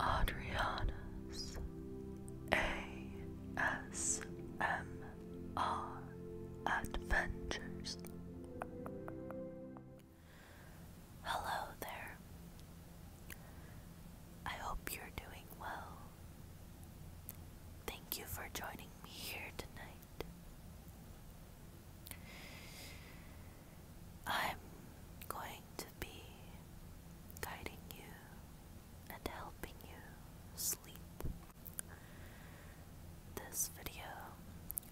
Adriana's ASMR Adventures. Hello there. I hope you're doing well. Thank you for joining me here tonight. I'm going to be guiding you and helping you sleep. This video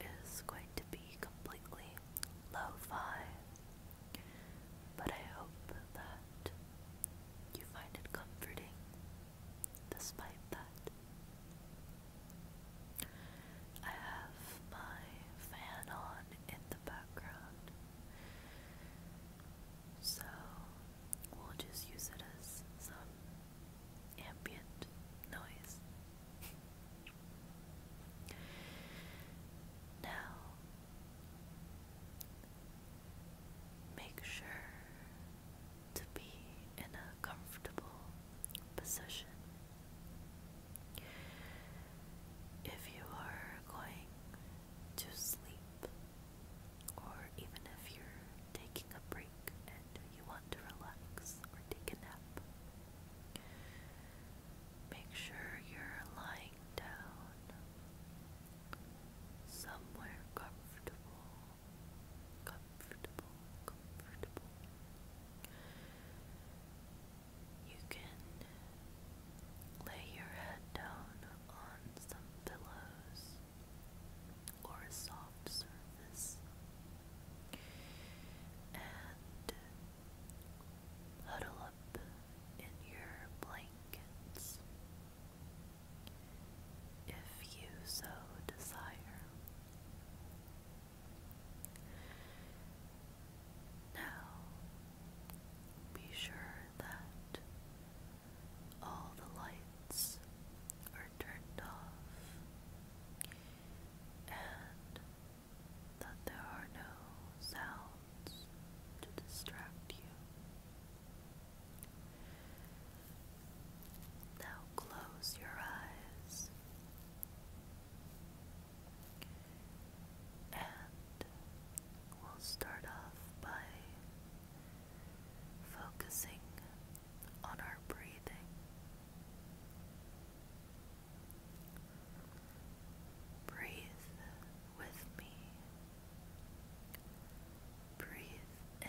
is going to be completely lo fi, but I hope that you find it comforting despite that. I have my fan on in the background. So we'll just use it as some ambient noise. Now, make sure to be in a comfortable position if you are going to sleep, or even if you're taking a break and you want to relax or take a nap, make sure you're lying down somewhere comfortable, comfortable, comfortable. You can lay your head down on some pillows or a soft surface and huddle up in your blankets if you so desire. Now, be sure that all the lights are turned off and that there are no sounds to distract you. Now close your eyes and we'll start off by focusing on our breathing. Breathe with me. Breathe in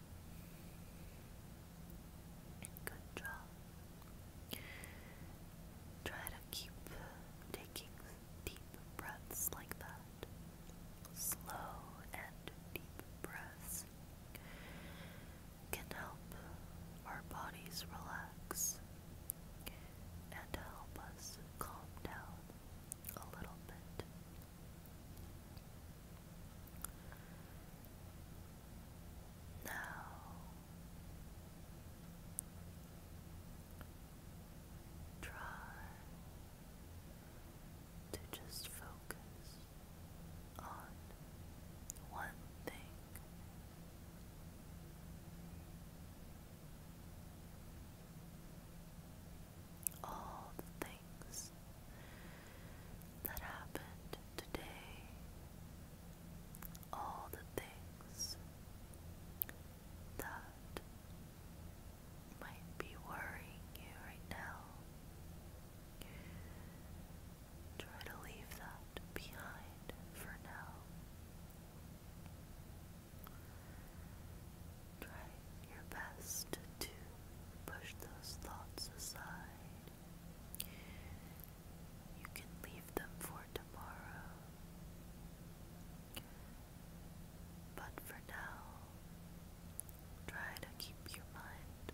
Good job. Try to keep taking deep breaths like that. Slow and deep breaths can help our bodies relax and help us calm down a little bit. Now try to just focus on one thing all the things that happened today, all the things that might be worrying you right now. Try to leave that behind for now. Try your best to push those thoughts aside. You can leave them for tomorrow. But for now, try to keep your mind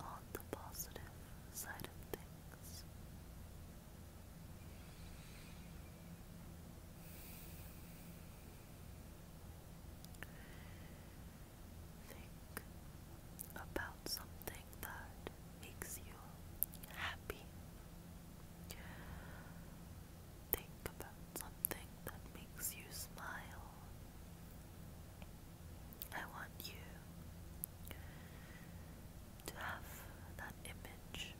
on the positive side of things. Think about something that makes you happy. Think about something that makes you smile. I want you to have that image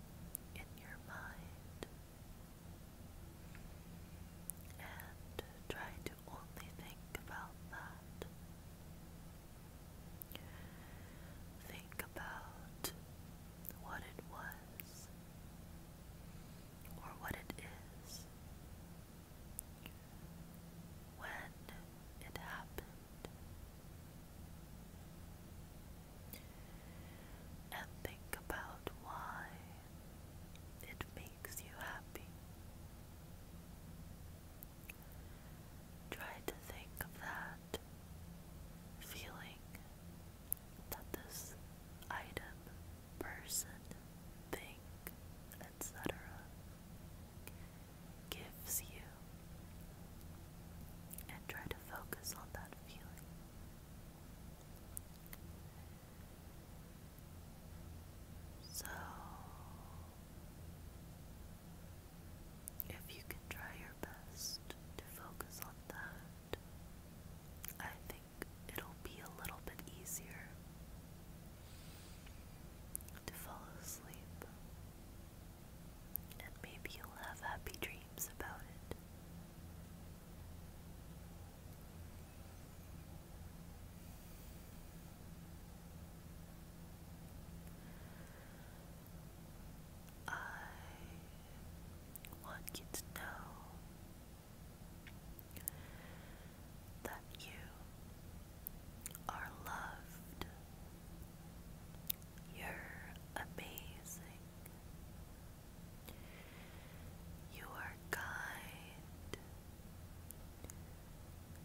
in your mind and try to only think about that. Think about what it was or what it is when it happened and think about why it makes you happy. Try to think of that feeling that this item, person, thing, etc. gives you and try to focus on that feeling. So, if you can try your best to focus on that, I think it'll be a little bit easier to fall asleep. And maybe you'll have happy dreams dreams about it. I want you to know that you are loved. You're amazing. You are kind.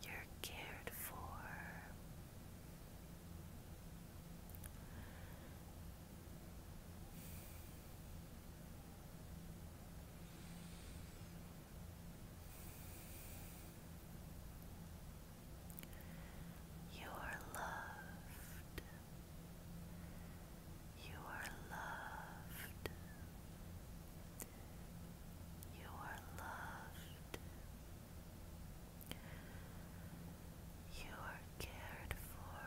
You're cared for. You are loved. You are loved. You are loved. You are cared for.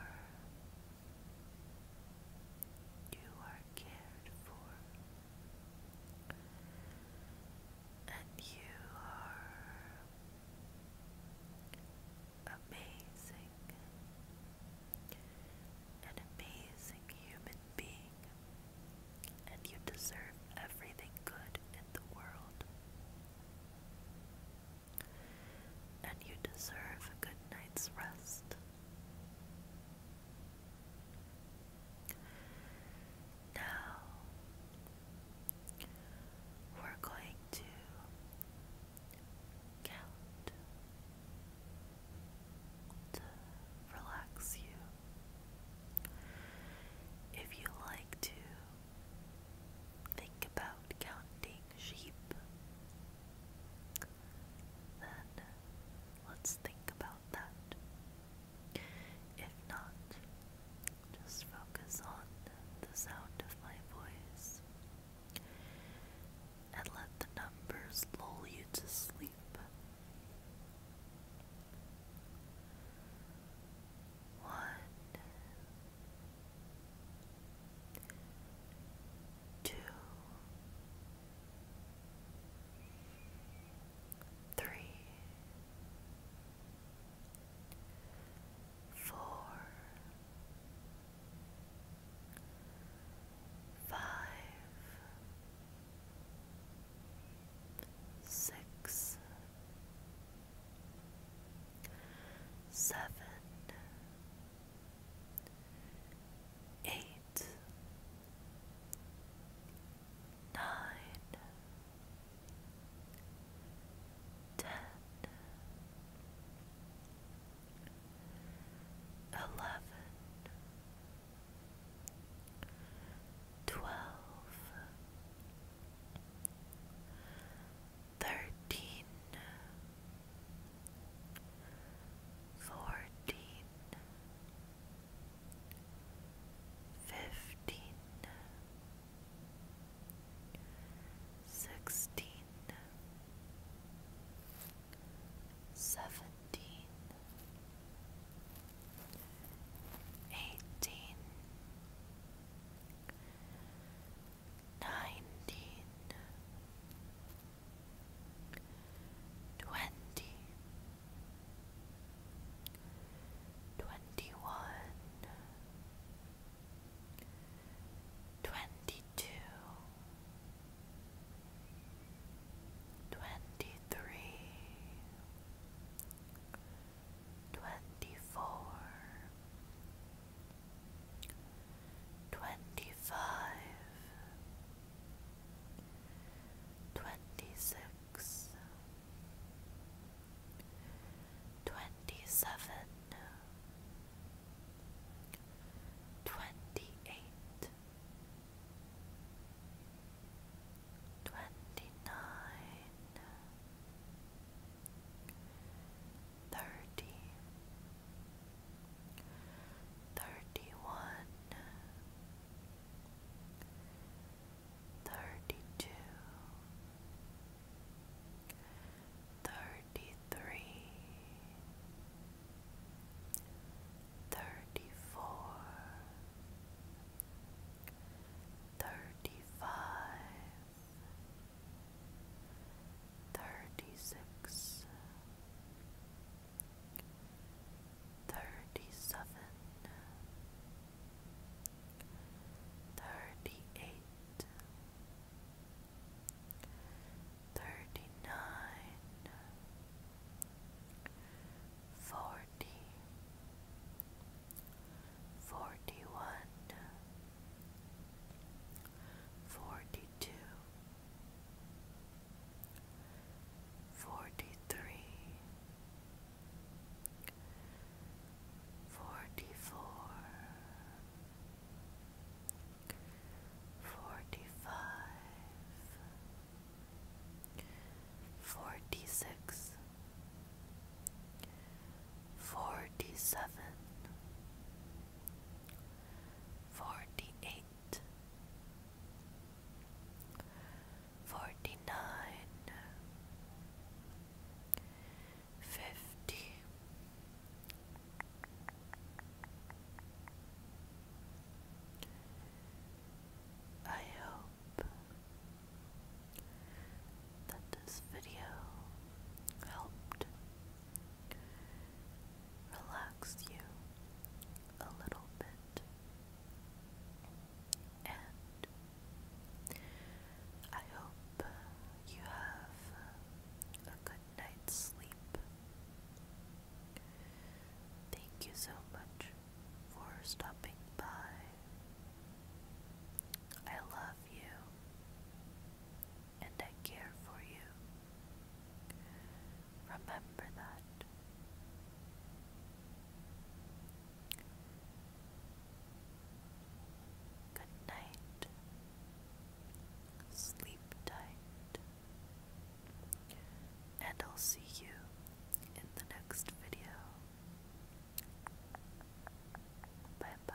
You are cared for. And you are amazing, an amazing human being, and you deserve everything good in the world. And you deserve a good night's rest. Now we're going to count to relax you. If you like to think about counting sheep, then let's think about that. If not, just focus on the sound of my voice and let the numbers lull you to sleep. One, two, three, four, five, six, seven, eight, nine ten, eleven, twelve, thirteen, fourteen fifteen, sixteen, seventeen, eighteen, nineteen, twenty. 21 twenty one, twenty two, twenty three, twenty four, twenty five twenty six, twenty seven, twenty eight, twenty nine, thirty. Thirty one, thirty-two, thirty-three, thirty-four, thirty-five, thirty-six, thirty seven, thirty eight, thirty nine, forty, forty one, forty two. 41 42 forty three, forty four, forty five, forty six, forty seven. Forty eight, forty nine, fifty, I hope that this video helped relax you a little bit, and I hope you have a good night's sleep. Thank you so much for stopping by. I love you and I care for you. Remember that. Good night. Sleep tight. And I'll see you in the next video. Bye bye.